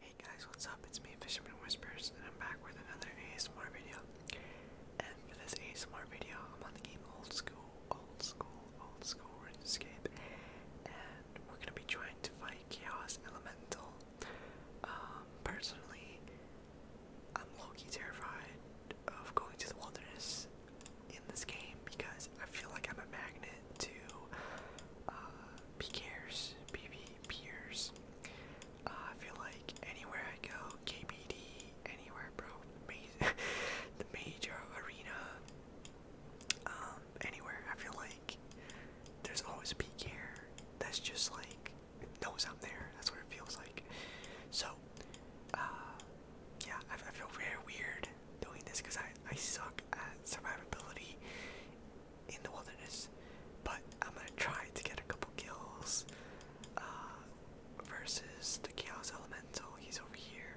Hey guys, what's up? It's me, Fisherman Whispers, and I'm back with another ASMR video. And for this ASMR video, I'm on the game Old School, Old School, Old School RuneScape, and we're gonna be trying to fight Chaos Elemental. Um, personally, I'm low terrified of going to the wilderness in this game because I feel like I'm a magnet to uh, PKers, PvPers. Uh, I feel like anywhere I go, KBD, anywhere, bro, the major arena, um, anywhere. I feel like there's always a peak here that's just like it knows i there. That's what it feels like. So, uh, yeah, I, feel very weird doing this because I I suck at survivability in the wilderness. But I'm gonna try to get a couple kills. Uh, versus the chaos elemental. He's over here.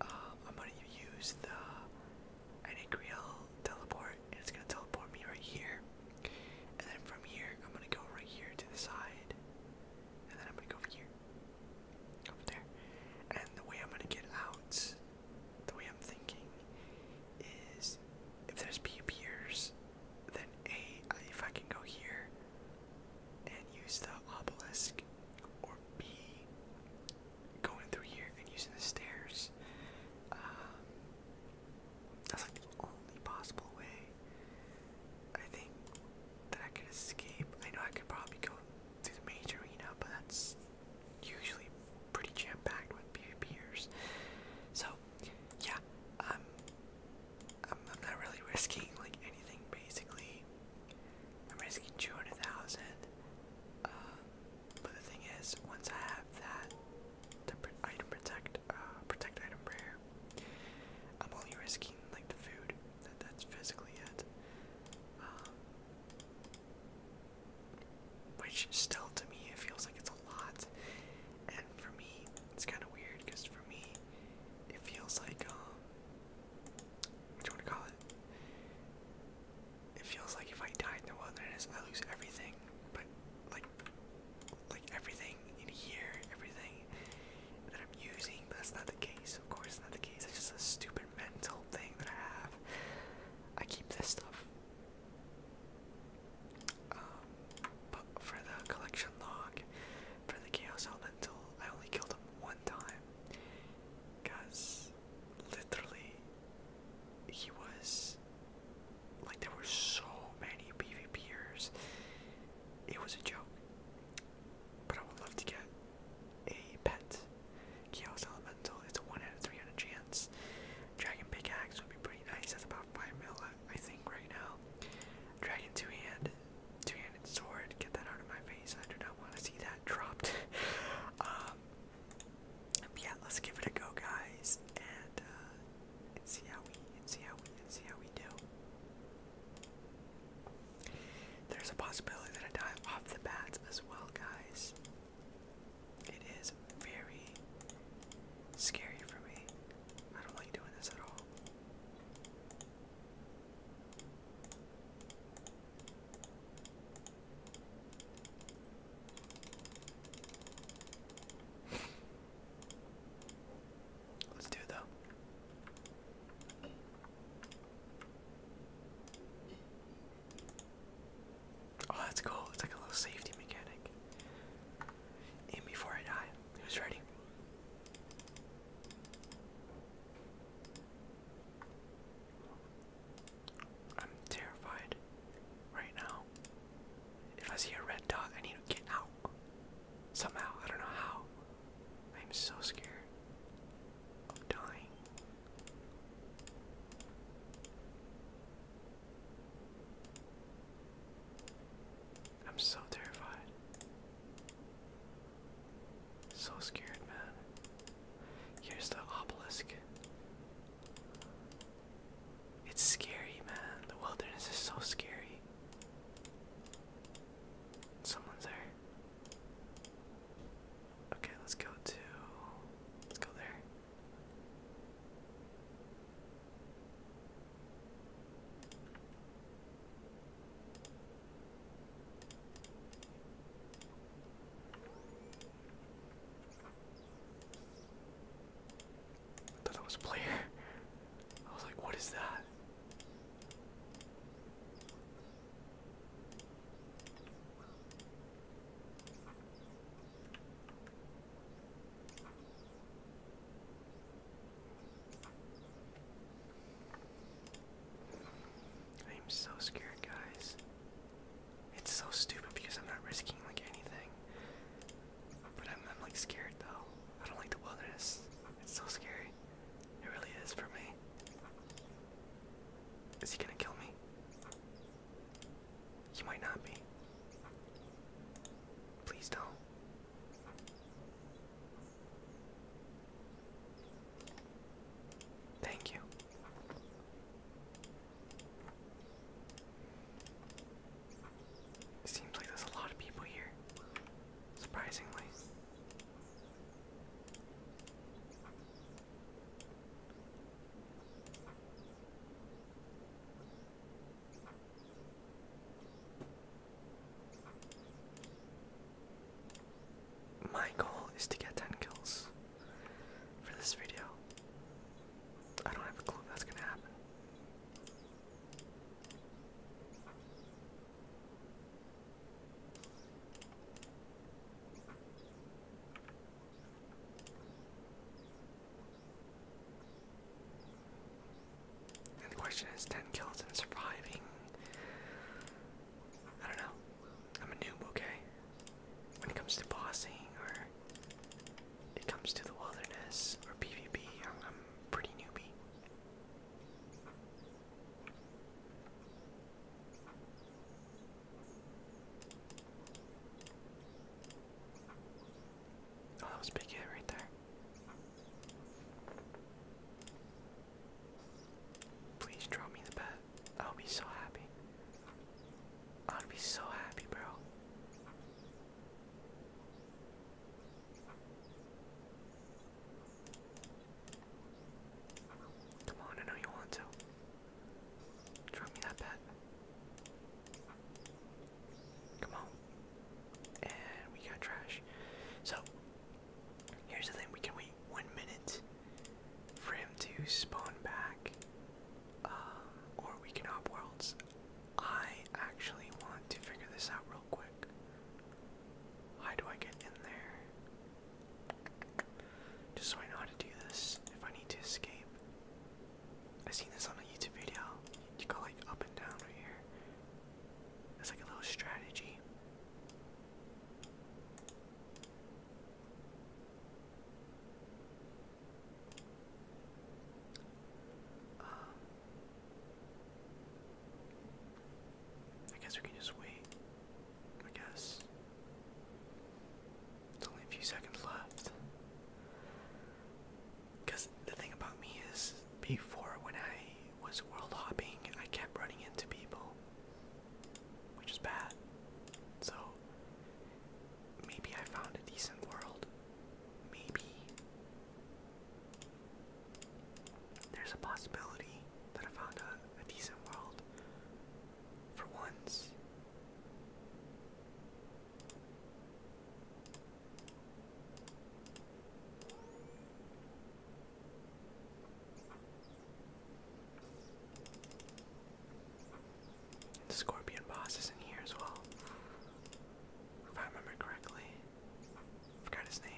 Um, I'm gonna use the I need Creel teleport, and it's gonna teleport me right here. And then from here, I'm gonna go right here to the side. And then I'm gonna go over here. Up there. And the way I'm gonna get out, the way I'm thinking, is if there's B appears, then A, if I can go here and use the obelisk, or B, going through here and using the stairs. Um, that's like the only possible way I think that I could escape. I know I could probably go to the major arena, but that's usually pretty jam packed with PvPers. So, yeah, I'm, I'm not really risking like anything basically. I'm risking 200,000. Um, but the thing is, once I have that item protect, uh, protect item prayer, I'm only risking like the food. That that's physically it. Um, which still to me it feels like it's a lot, and for me it's kind of weird because for me it feels like um, what do you want to call it? it feels like if I die in the wilderness, I lose everything. But like, like everything in here, everything that I'm using. that's not the case. Of course, not the case. It's just a stupid mental thing that I have. I keep this stuff. Um, but for the collection log, for the chaos elemental, I only killed him one time. Cause literally he was like there were so many PvPers. It was a joke. But I would love to get a pet. Chaos Elemental, it's a 1 out of 300 chance. Dragon Pickaxe would be pretty nice, that's about 5 mil, I think, right now. Dragon Two Hand, Two Handed Sword, get that out of my face, I do not want to see that dropped. um, yeah, let's give it a go, guys, and, uh, see how we, see how we, see how we do. There's a possibility that I die off the bats as well, guys. It is very scary for me. I don't like doing this at all. Let's do it though. Oh, that's cool. It's like a little safety mechanic. Aim before I die. Who's ready? I'm terrified right now. If I see a red dot, I need to get out. Somehow, I don't know how. I'm so scared of dying. I'm so terrified. So scared, man. Here's the obelisk. It's scary, man. The wilderness is so scary. Someone's there. Okay, let's go to. Let's go there. I thought that was a player. I was like, what is that? I am so scared, guys. It's so stupid because I'm not risking like anything. But I'm, like scared though. I don't like the wilderness. It's so scary. It really is for me. Is he gonna kill me? He might not be. Please don't. Thank you. It seems like there's a lot of people here, surprisingly my goal is to get 10 kills for this video. I don't have a clue that's gonna happen. And the question is 10 kills and surviving I don't know. I'm a noob, okay? When it comes to bossing or it comes to the wilderness or PvP, I'm, pretty newbie. Oh, that was big hit right there. Please draw me the bat. I'll be so happy. I'll be so happy, bro. Come on, I know you want to. Drop me that bet. Come on. And we got trash. So, here's the thing we can wait one minute for him to spawn back. Um, or we can hop worlds. I actually want to figure this out real quick. How do I get in there? Just so I know how to do this if I need to escape. i seen this on a YouTube video. You go like up and down right here. It's like a little strategy. I guess we can just wait. I guess. It's only a few seconds left. Because the thing about me is, before when I was world hopping, I kept running into people which is bad. So maybe I found a decent world. Maybe there's a possibility that I found a, a decent world for once. The scorpion boss is in here as well. If I remember correctly. I forgot his name.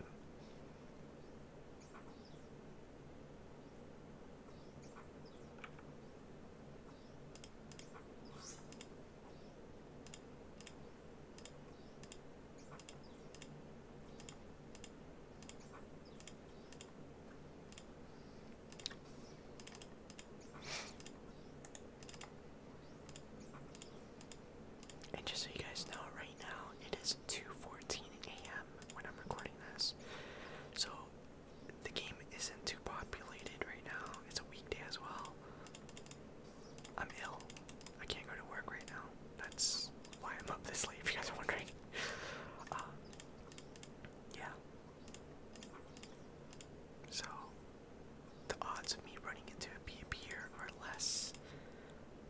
And just so you guys know, right now it is 2:14 a.m. when I'm recording this. So the game isn't too populated right now. It's a weekday as well. I'm ill. I can't go to work right now. That's why I'm up this late, if you guys are wondering. Uh, yeah. So, the odds of me running into a PvP are less,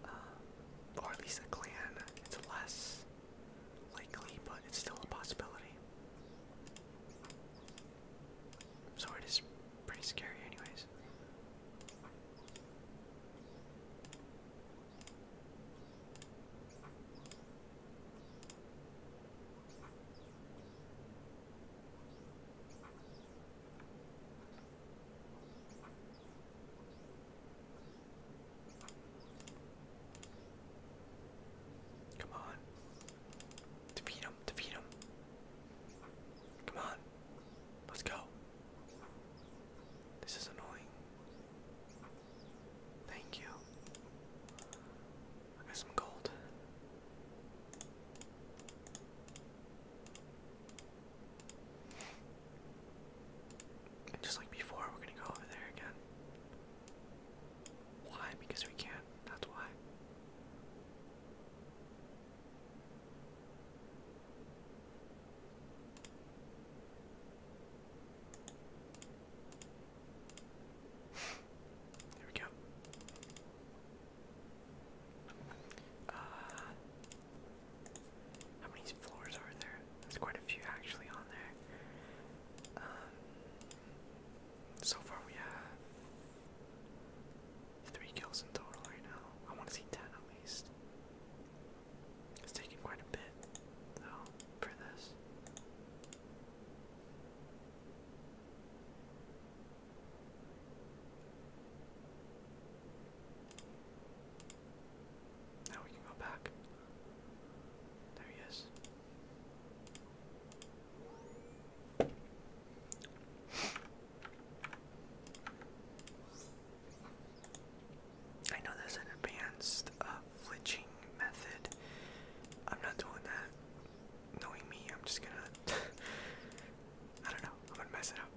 uh, or at least a clan, it's less likely, but it's still a possibility. So it is pretty scary anyways. Come on. Defeat him. Defeat him. Come on. Let's go. This is annoying. Thank you. I got some gold. just like before, we're gonna go over there again. Why? Because we can That's why. There we go. Uh, how many floors are there? There's quite a few actually on there. Um, so far we have three kills in total right now. I want to see ten at least. It's taking quite a bit, though, for this. Now we can go back. There he is. I know there's an advanced uh, flitching method. I'm not doing that. Knowing me, I'm just gonna. I don't know. I'm gonna mess it up.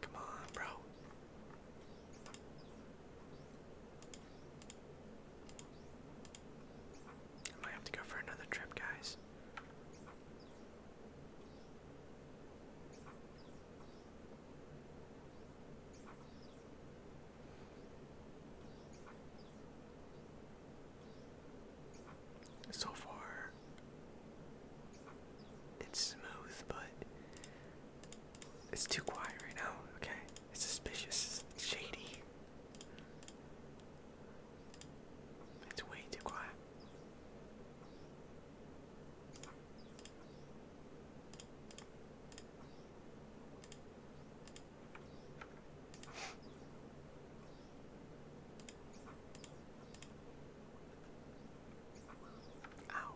Come on, bro. I might have to go for another trip, guys. So far, it's smooth, but it's too quiet right now. Okay, it's suspicious, it's shady. It's way too quiet. Ow.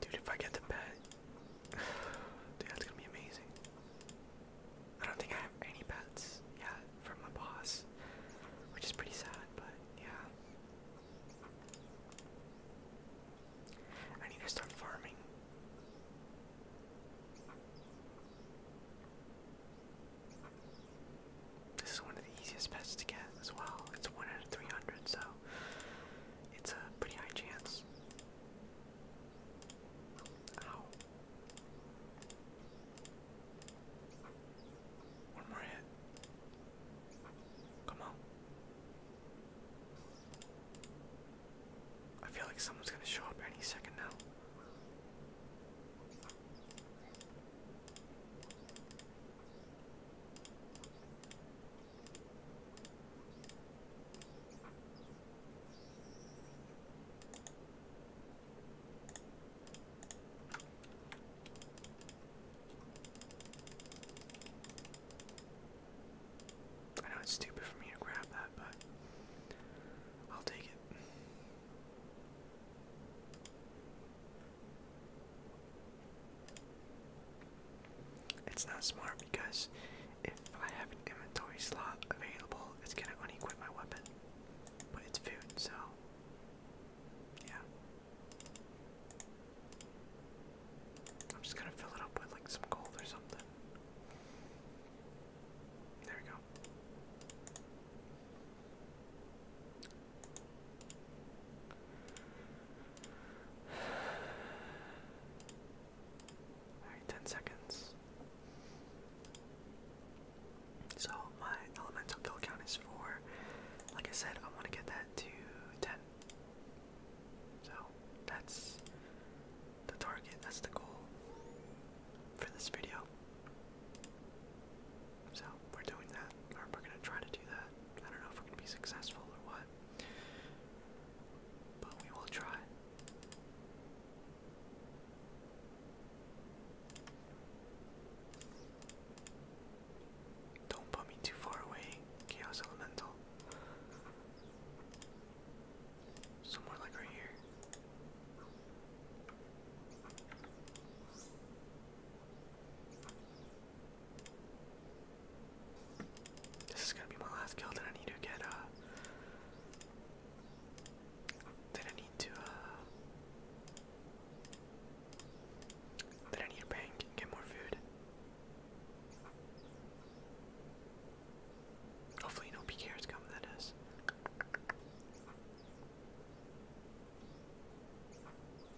Dude, if I get the pet, Dude, that's gonna be amazing. I don't think I have any pets yet from my boss, which is pretty sad, but yeah. I need to start farming. This is one of the easiest pets to get as well. It's one out of 300, so it's a pretty high chance. Ow. One more hit. Come on. I feel like someone's gonna show up any second now. I know it's stupid for me to grab that, but I'll take it. It's not smart because if I have an inventory slot available, it's gonna unequip my weapon. But it's food, so yeah. I'm just gonna fill it up with like some gold or something. There we go. 10 seconds. So my elemental kill count is 4. Like I said, I want to get that to 10. So that's the target, that's the goal for this video. So we're doing that, or we're gonna try to do that. I don't know if we're gonna be successful or what. But we will try. Don't put me too far away, Chaos Elemental. Somewhere like right here. This is gonna be my last kill that I need to get, uh, That I need to, uh, That I need to bank and get more food. Hopefully, no PKRs come, that is.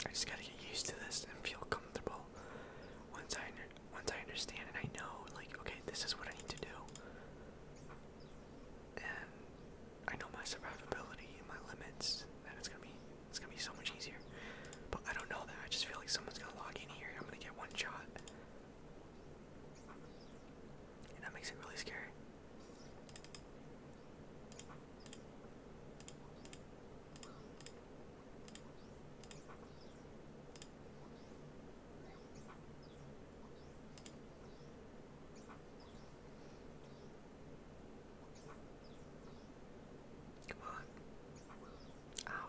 I just gotta get used to this and feel comfortable. Once I once I understand and I know, like, okay, this is what I need to do, and I know my survivability and my limits, then it's gonna be it's gonna be so much easier. But I don't know that. I just feel like someone's gonna log in here. and I'm gonna get one shot, and that makes it really scary. Come on. Ow.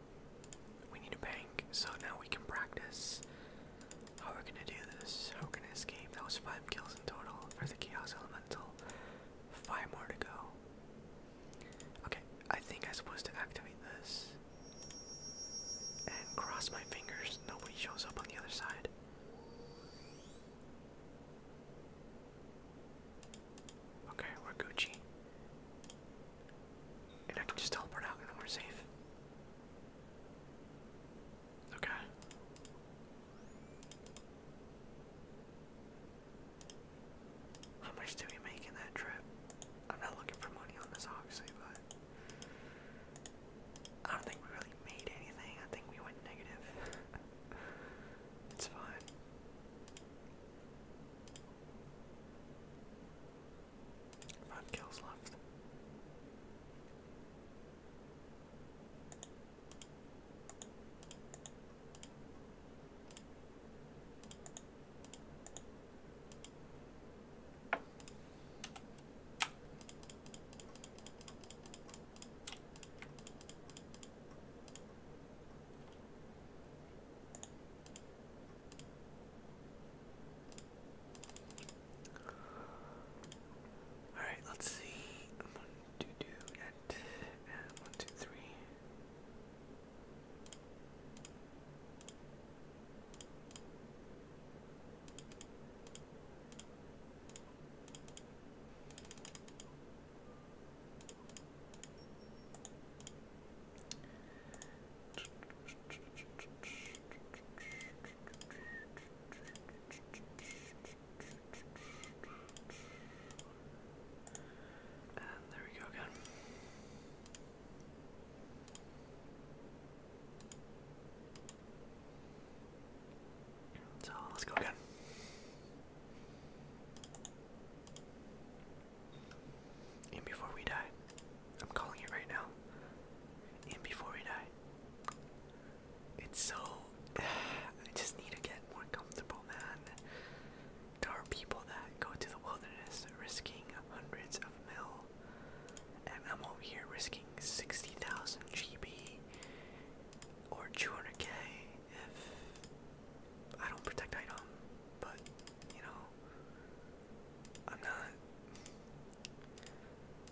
We need a bank, so now we can practice how we're gonna do this, how we're gonna escape. That was five kills in total for the Chaos Elemental. Five more to go. Okay, I think I'm supposed to activate this. And cross my fingers, nobody shows up on the other side. Okay, we're Gucci. And I can just help her out and then we're safe. Okay. How much did we make in that trip? I'm not looking for money on this obviously, but I don't think we really made anything. I think we went negative. it's fine. Five kills left. Alright, let's see. one, two, three. And there we go again. So let's go again. In before we die. I'm calling it right now. In before we die. It's so. I just need to get more comfortable, man. There are people that go to the wilderness risking hundreds of mil, and I'm over here risking 60,000 GB or 200k if I don't protect item, but you know, I'm not,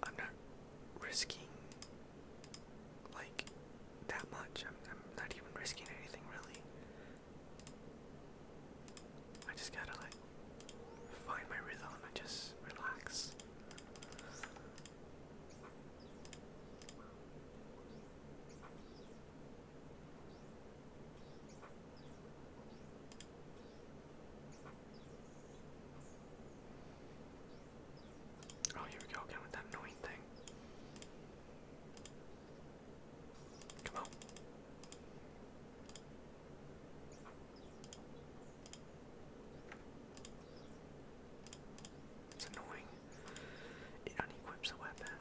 I'm not risking like that much. I'm, not even risking anything really. I just gotta like find my rhythm and just relax. Oh, here we go again with that annoying thing. Come on. It's annoying. It unequips a weapon.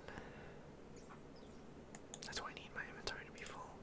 That's why I need my inventory to be full.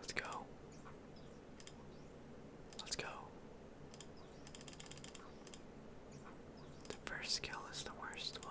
Let's go. Let's go. The first skill is the worst one.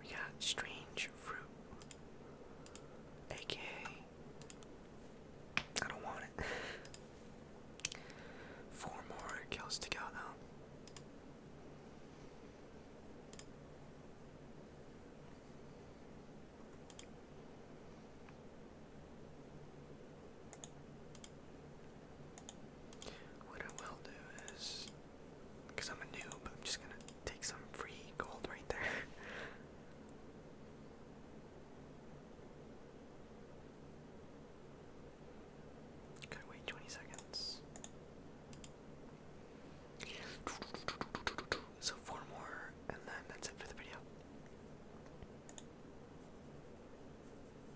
We got strange fruit. AKA I don't want it. Four more kills to go though. What I will do is because I'm a noob, I'm just gonna take some free gold right there. got wait 20 seconds. So, four more, and then that's it for the video.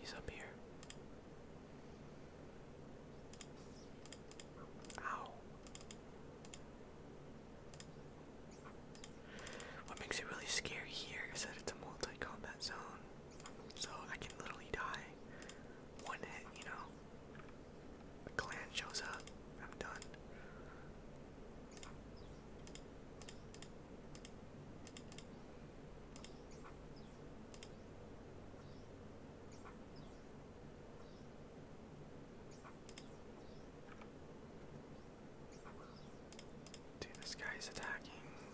He's up here. Ow. What makes it really scary here is that it's a multi combat zone. So I can literally die one you know? The clan shows up. I'm done. Dude, this guy attacking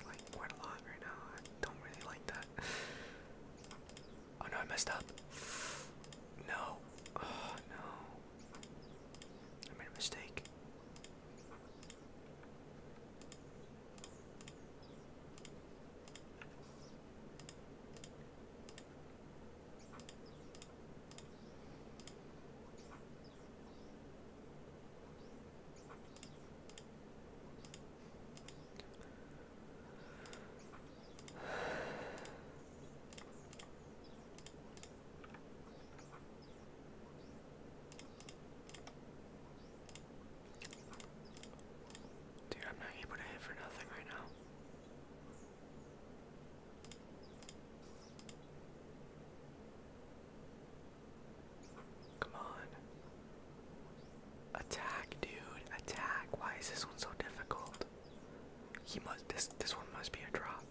like quite a lot right now. I don't really like that. Oh no, I messed up. No. Oh no. I made a mistake. Dude, I'm not able to hit for nothing right now. Come on. Attack, dude. Attack. Why is this one so difficult? He must this this one must be a drop.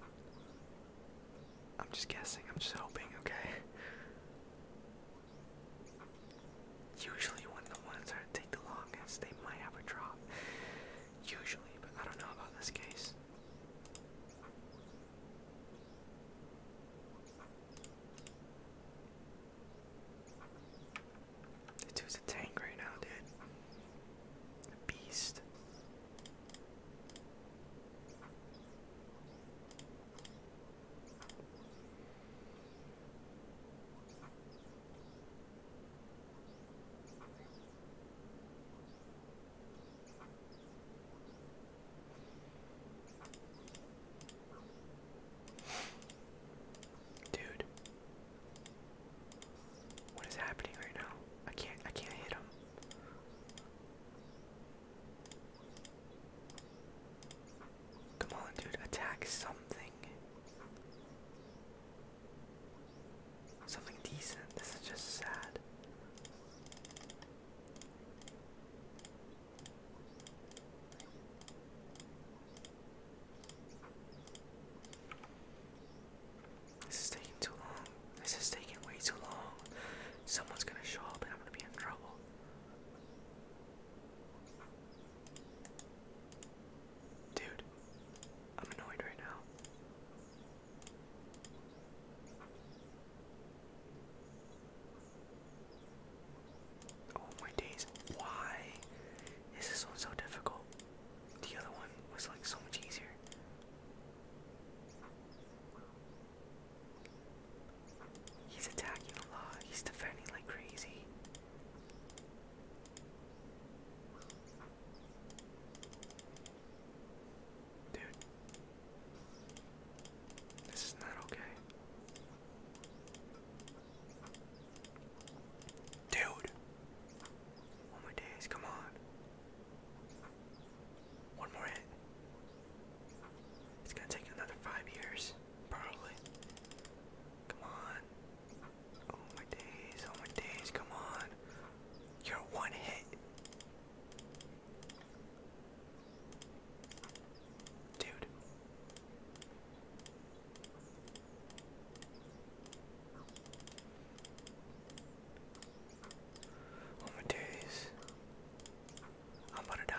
I'm just guessing, I'm just hoping, okay. Usually when the ones that take the longest, they might have a drop. Usually, but I don't know about this case. The dude's a tank right now, dude. A beast. Dude, what is happening right now? I can't I can't hit him. Come on, dude, attack something. Something decent. This is just sad. This is taking too long. This is taking way too long. Someone's gonna show up and I'm gonna be in trouble. Dude, I'm annoyed right now. Oh my days, why is this one so difficult? The other one was like so much easier. He's attacking a lot. He's defending like crazy. Dude. This is not okay. Dude. One more days, come on. One more hit. It's gonna take another five years, probably. Come on. Oh my days, oh my days, come on. You're one hit. Dude. Oh my days. I'm about to die.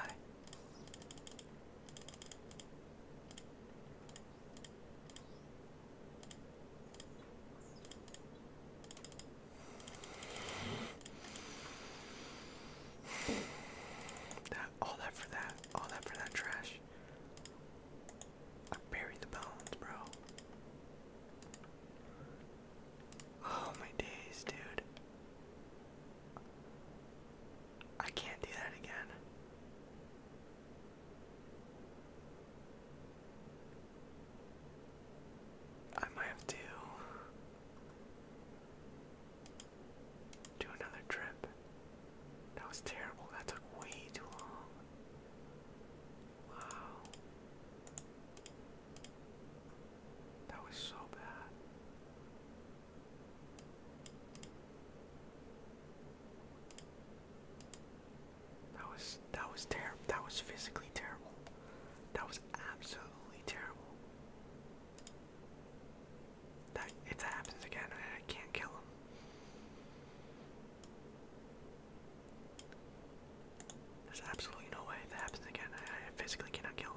That all that for that, all that for that trash. I buried the bones, bro. Oh my days, dude. I can't do that again. I might have to do another trip. That was terrible. That took way too long. Wow. That was so bad. That was that was terrible. That was physically terrible. That was absolutely terrible. That it happens again and I can't kill him. There's absolutely no way that happens again. I, physically cannot kill him.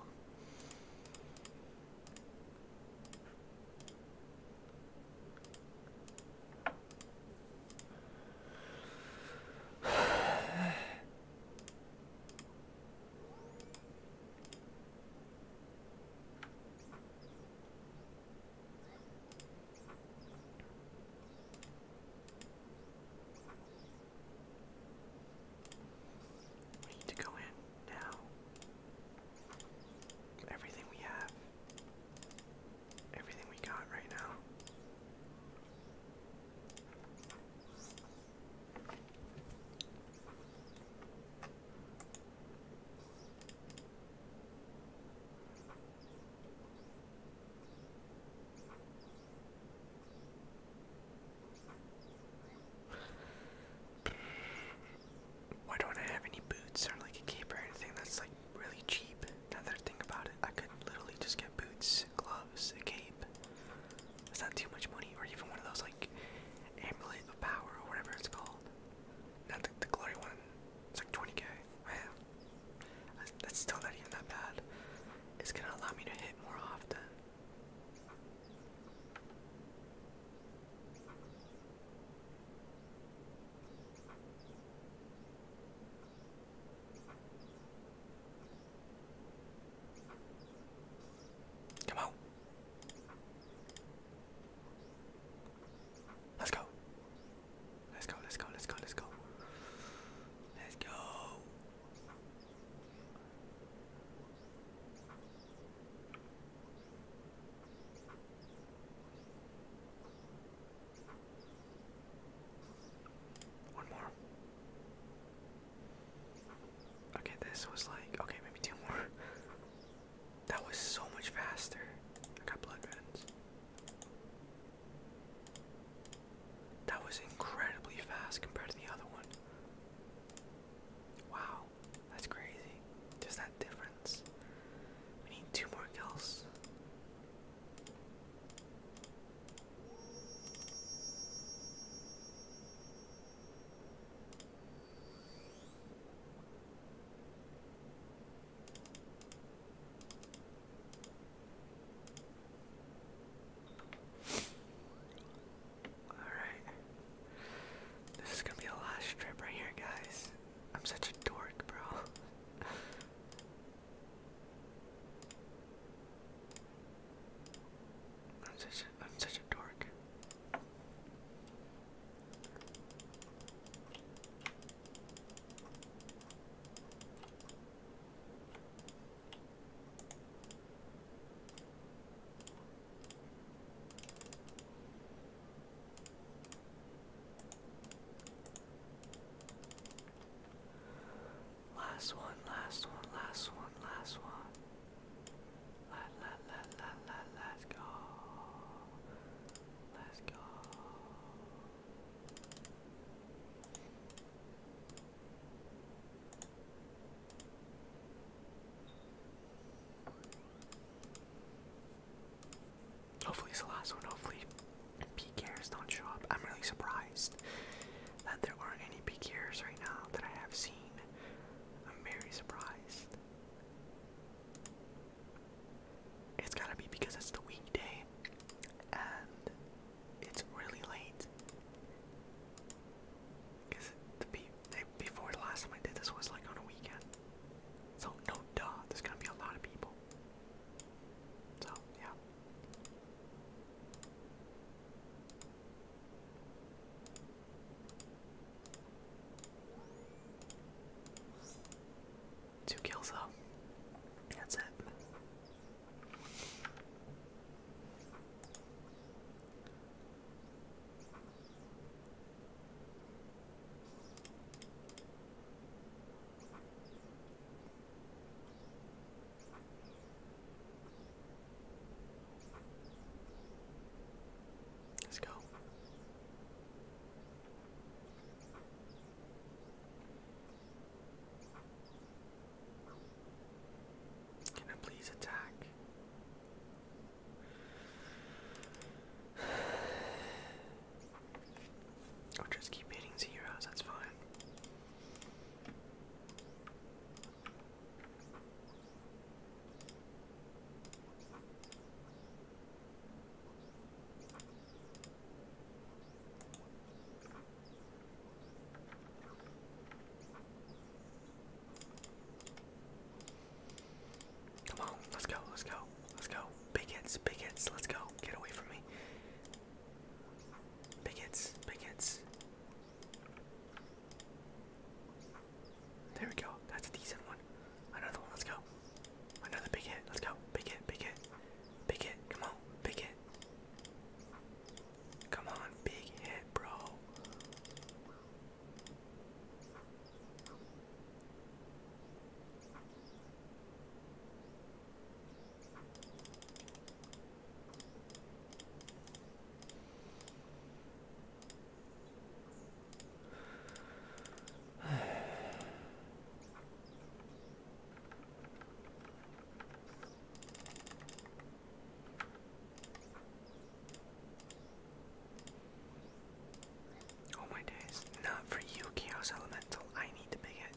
We need to go in now. Everything we have, everything we got right now. Why don't I have any boots or like a cape or anything that's like really cheap? Now that I think about it, I could literally just get boots, gloves, a cape. It's not too much money, or even one of those like amulet of power or whatever it's called. Not the, the glory one. It's like 20k. Man, that's still not even that bad. It's gonna allow me to hit more often. Come on. Let's go. Let's go, let's go, let's go, let's go. Let's go. One more. Okay, this was like okay, maybe two more. That was so much faster. I got blood vents. That was incredibly fast compared to the other one. Wow, that's crazy. Just that difference. We need two more kills. Alright. This is gonna be the last trip right here, guys. I'm such a dork, bro. I'm such a, I'm such a dork. Last one, last one, last one, last one. Let, let, let, let, let, let go. Hopefully it's the last one. Hopefully PKers don't show up. I'm really surprised that there aren't any PKers right now that I have seen. I'm very surprised. It's gotta be because it's the weekday and it's really late. Because be, before the last time I did this was like on a weekend. So, no duh, there's gonna be a lot of people. So, yeah. Two kills though. That's it. Let's go. Can I please attack? i just keep hitting zeros, that's fine. Come on, let's go, let's go, let's go. Big hits, big hits, let's go. Get away from me. Big hits, big hits. There we go. That's a decent one. Another one, let's go. Another big hit, let's go. Big hit, big hit. Big hit, come on, big hit. Come on, big hit, bro. Oh my days, not for you, Chaos Elemental. I need to make it.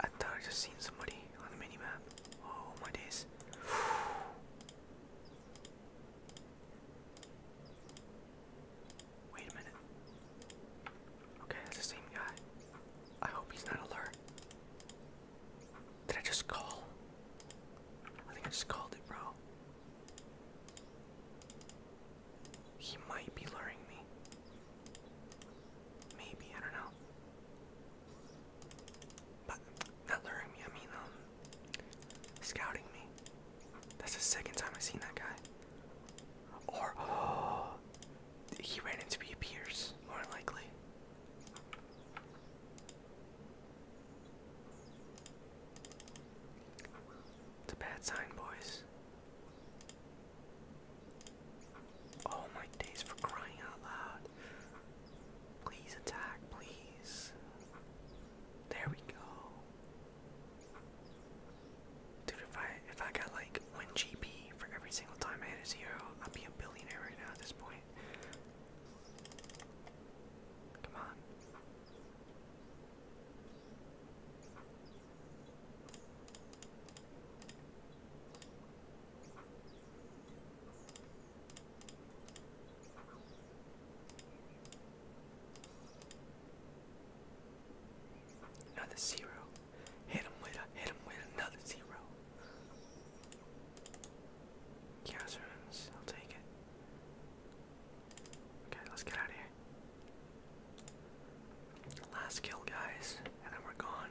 I thought I just seen somebody on the minimap. Oh my days. Wait a minute. Okay, that's the same guy. I hope he's not alert. Did I just call? I think I just called it, bro. He might be luring me. Maybe, I don't know. But not luring me, I mean, um, scouting me. That's the second time I've seen that guy. Or he ran into me Pierce, more likely. It's a bad sign, boys. Oh my days for crying out loud. Please attack, please. There we go. Dude, if I if I got like one GP for every single time I hit a zero, I'd be a billionaire right now at this point. Come on. Another zero. Hit him with a hit him with another zero. Chaos runes, I'll take it. Okay, let's get out of here. Last kill guys, and then we're gone.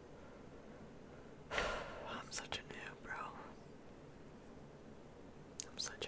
I'm such a noob, bro. I'm such a noob.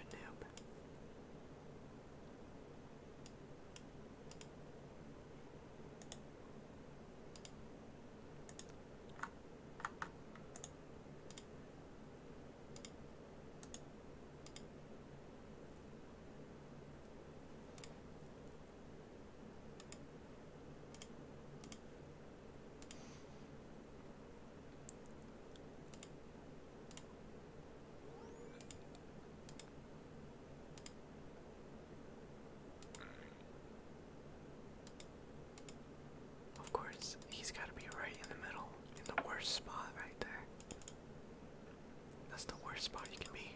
Of course, he's got to be right in the middle, in the worst spot right there. That's the worst spot you can be.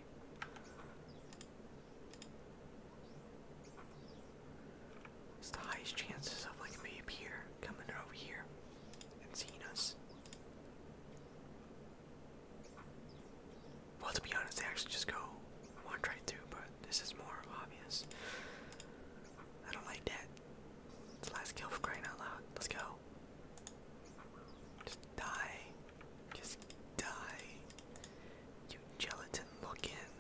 It's the highest chances of like me up here coming over here and seeing us. Well, to be honest, they actually just go one right through, but this is more obvious. I don't like that. It's the kill for crying out loud. Let's go. Just die. Just die gelatin looking,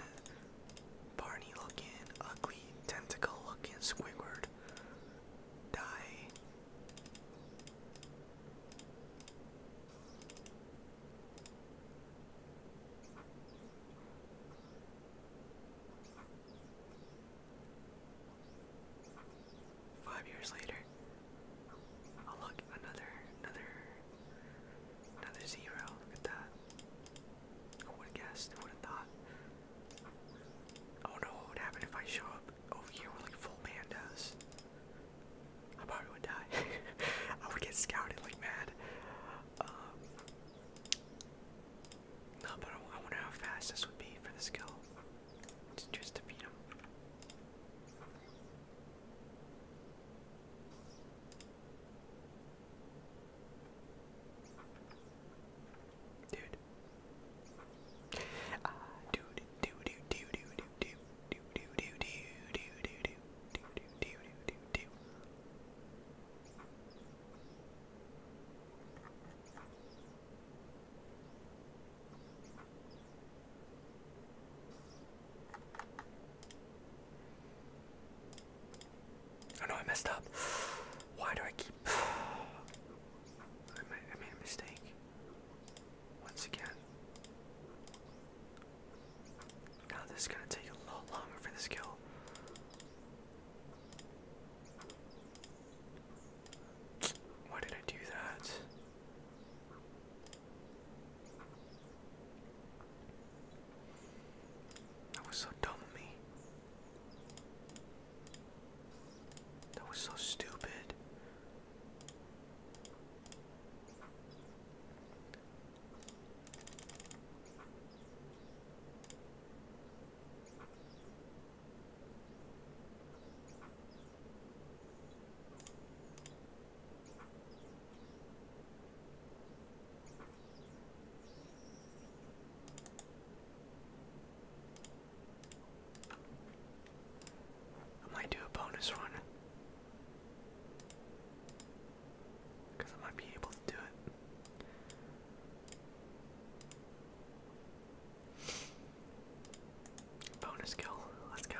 Barney looking, ugly tentacle looking Squidward. Die. Five years later. another another Another zero. Look at that. I would have guessed. I would have thought. Oh no, what would happen if I show up over here with like full pandas? I probably would die. I would get scouted like mad. Um, no, but I wonder how fast this would be for the skill. Just to beat him. Dude. Ah, dude, dude, dude, dude, dude, dude, dude, dude, dude, dude, dude, dude, dude, dude. Oh no, I messed up. Why do I keep. I made a mistake. Once again. Now this is gonna take a lot longer for this kill. Why did I do that? That was so dumb of me. That was so stupid. I might do a bonus run because I might be able to do it. Bonus kill. Let's go.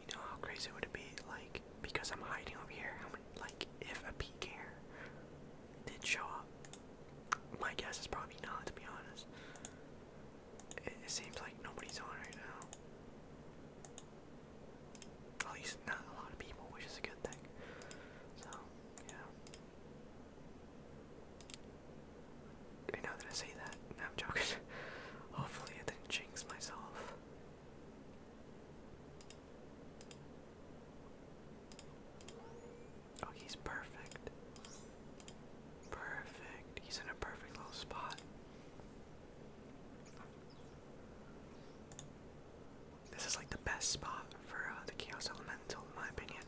You know how crazy would it be, like, because I'm hiding over here, like, if a peak air did show up? My guess is probably not, to be honest. It, it seems like nobody's on right now. At least not a lot of people, which is a good thing. So, yeah. I know that I say that. I'm joking. Hopefully, I didn't jinx myself. Oh, he's perfect. Perfect. He's in a perfect little spot. This is like the best spot for uh, the Chaos Elemental, in my opinion.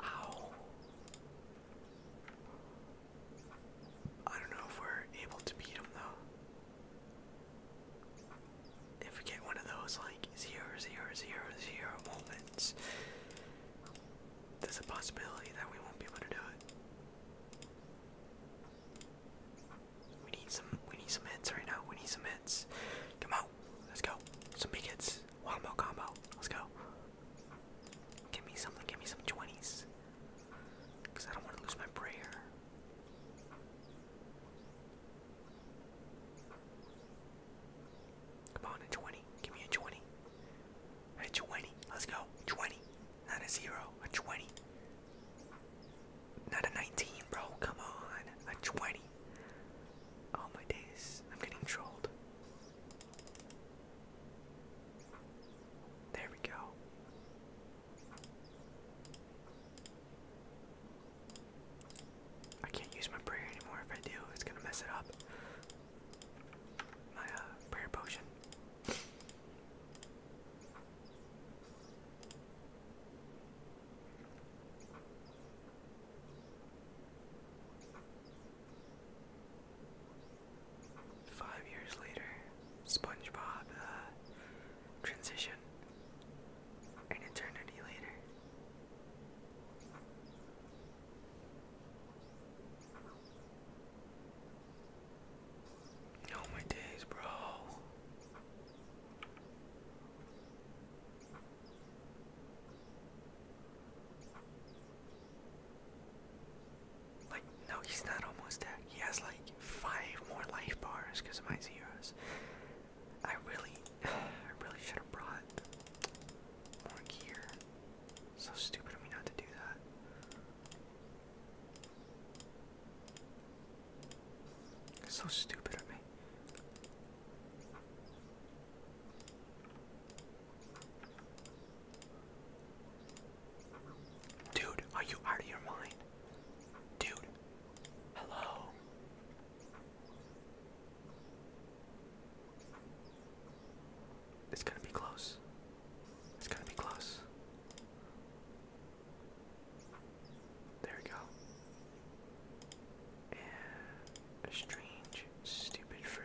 Ow. I don't know if we're able to beat him though. If we get one of those like zero zero zero zero moments, there's a possibility that we won't be able to do it. We need some we need some hits right now. We need some hits. Come on, let's go. Some big hits. One more combo. Let's go. Give me something, give me some twenties. Cause I don't want to lose my prayer. Come on, a 20. Give me a 20. A 20. Let's go. 20. Not a 0. A 20. Not a 19, bro. Come on. A 20. Oh my days. I'm getting trolled. There we go. I can't use my prayer anymore. If I do, it's gonna mess it up. My uh, prayer potion. Five years later, SpongeBob uh, transition an eternity later. Oh my days, bro. Like, no, he's not almost dead. He has like five more life bars because of my zeros. I really, I really should have brought more gear. So stupid of me not to do that. So stupid of me. Dude, are you out of your mind? Dude, hello. It's gonna be close. It's gonna be close. There we go. strange, stupid fruit.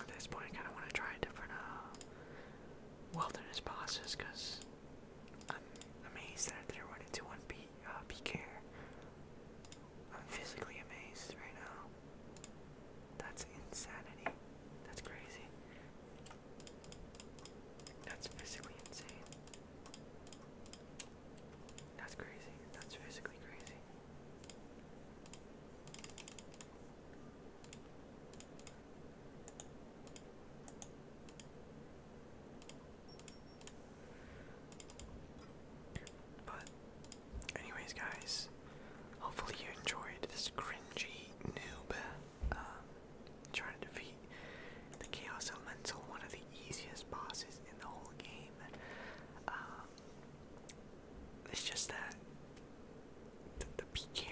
At this point, I kind of want to try different uh, wilderness bosses because I'm amazed that they're running to one beat uh, PK. I'm physically amazed right now. That's insanity. That's crazy. That's physically insane. That's crazy. That's physically crazy. But, anyways, guys, hopefully you enjoyed this cringy noob um, trying to defeat the Chaos Elemental, one of the easiest bosses in the whole game. Um, it's just that the, the Pete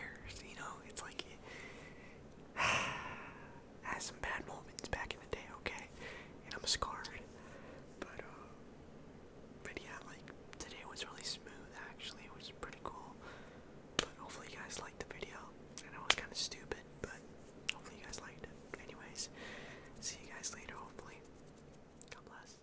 you know? It's like, has some bad moments back in the day, okay? And I'm scarred. But, uh, but yeah, like, today was really smooth, actually. It was pretty cool. But hopefully you guys liked the video. And I was kind of stupid, but hopefully you guys liked it. Anyways, see you guys later, hopefully. God bless.